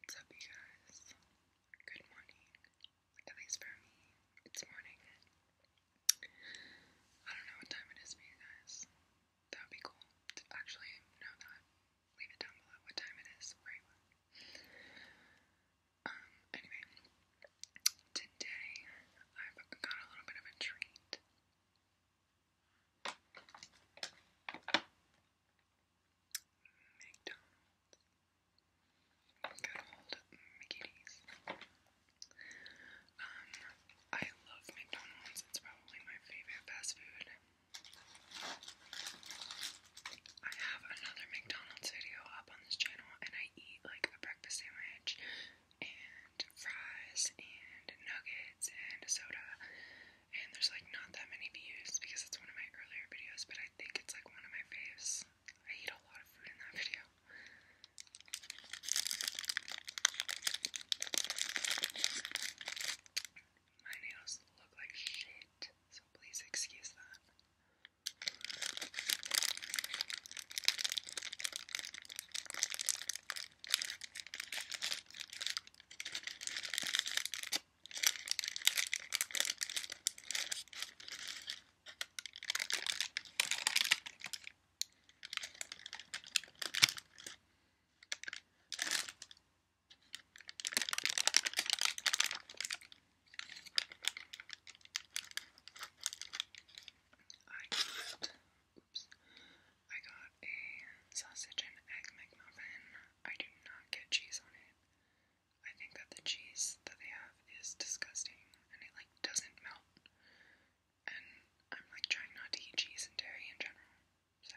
What's up, you guys? Good morning. At least for me, it's morning. I don't know what time it is you guys. That would be cool actually know that. Leave it down below what time it is, where you are. Um, anyway, today I've got a little bit of a treat. McDonald's. Good Um, I love McDonald's. It's probably my favorite fast food. I have another McDonald's video up on this channel, and I eat like a breakfast sandwich and fries and nuggets and soda and there's like not that many views because it's one of my earlier videos, but I think it's like one of my faves. I eat a lot of food in that video. My nails look like shit, so please excuse that. I just I got a sausage and egg McMuffin. I do not get cheese on it. I think that the cheese that they have is disgusting and it like doesn't melt. And I'm like trying not to eat cheese and dairy in general. So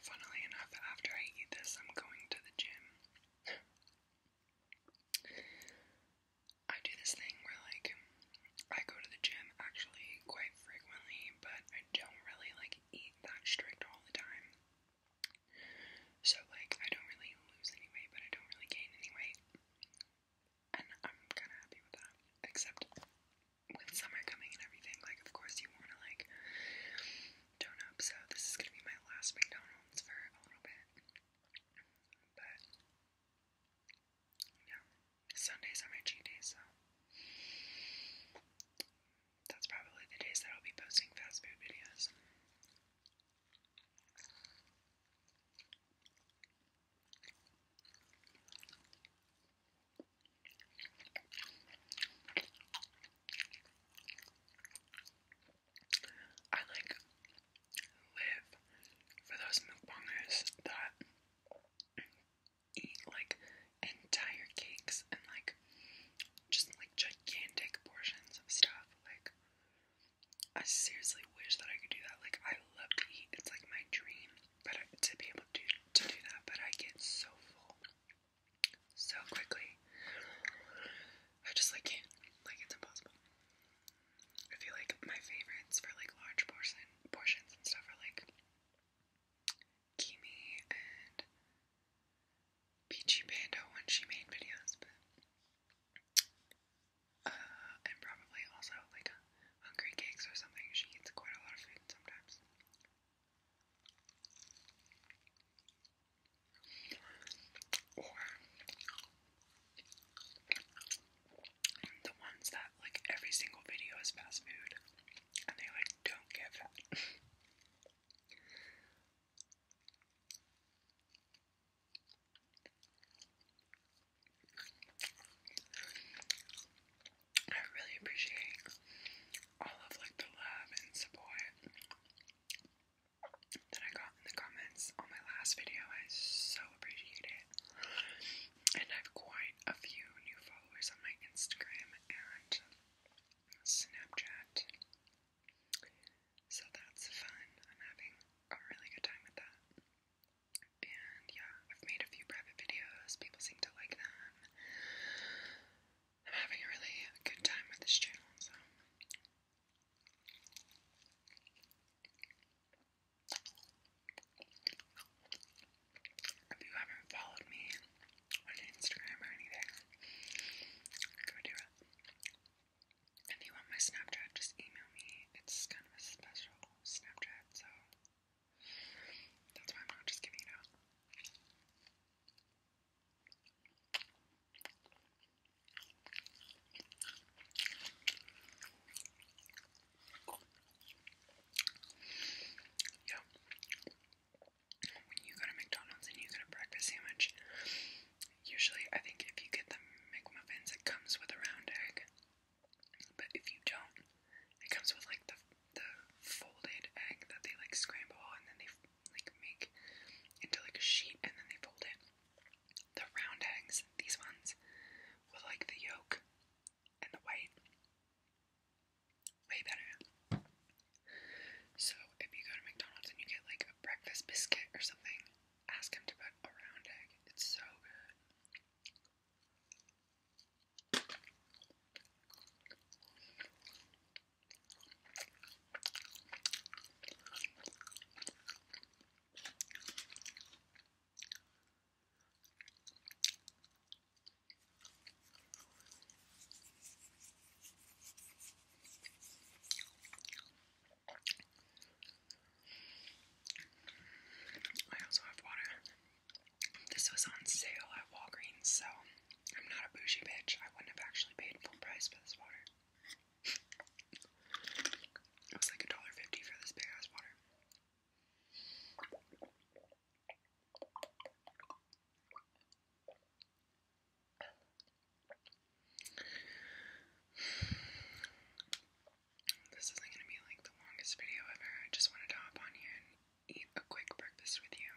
Funnily enough, after I eat this, I'm going to the gym. I do this thing where, like, I go to the gym actually quite frequently, but I don't really, like, eat that strict all the time. So, like, I don't really lose any weight, but I don't really gain any weight. And I'm kind of happy with that. Except with summer coming and everything, like of course you want to like tone up. So this is gonna be my last McDonald's for a little bit, but yeah, Sundays are my cheat days, so that's probably the days that I'll be posting fast food videos. I like live for those mukbangers that eat like entire cakes and like just like gigantic portions of stuff. Like, I seriously wish that I could do that. Like, I love to eat, it's like my dream but I, to be able to to do that, but I get so full so quickly. I just like can't, like it's impossible. I feel like my favorites for like large portion portions and stuff are like Kimi and Peachy Panda when she made videos, and probably also like hungry cakes or something. She eats quite a lot of food sometimes. Or the ones that like every single video is fast food and they like don't get fat. I really appreciate all of like the love and support that I got in the comments on my last video. I so appreciate it. And I have quite a few new followers on my Instagram and Snapchat. So that's fun. I'm having a really good time with that. And yeah, I've made a few private videos, people seem to like them. I'm having a really good time with this channel, so. If you haven't followed me on Instagram or anything, go do it. If you want my Snapchat, just email me. It's kind of a special Snapchat, so that's why I'm not just giving it out. Yo, when you go to McDonald's and you get a breakfast sandwich, Usually, I think if you get the McMuffins, it comes with a round egg. But if you don't, it comes with like the the folded egg that they like scramble and then they like make into like a sheet and then they fold it. The round eggs, these ones, with like the yolk and the white, way better. So if you go to McDonald's and you get like a breakfast biscuit or something, ask him to put a round egg. It's so good. I also have water. This was on sale at Walgreens, so I'm not a bougie bitch. I wouldn't have actually paid full price for this water. it was like a dollar fifty for this big ass water. This isn't gonna be like the longest video ever. I just wanted to hop on here and eat a quick breakfast with you.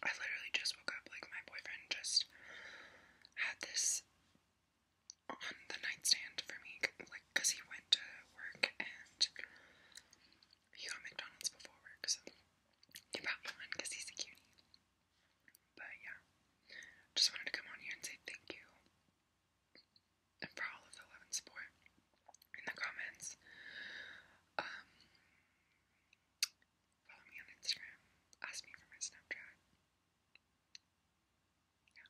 I literally just woke up, like, my boyfriend just had this on the nightstand for me, like, because he went to work and he got McDonald's before work, he brought because he's a cutie. But yeah, just wanted to come on here and say thank you for all of the love and support in the comments. Um, follow me on Instagram. Ask me for my Snapchat. Yeah.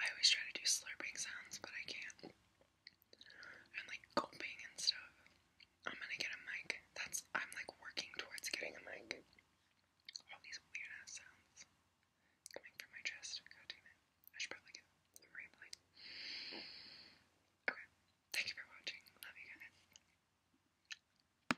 I always try to do slurping sounds, but I can't. i like gulping and stuff. I'm gonna get a mic. That's I'm like working towards getting a mic. All these weird ass sounds coming from my chest. God damn it. I should probably get Okay. Thank you for watching. Love you guys.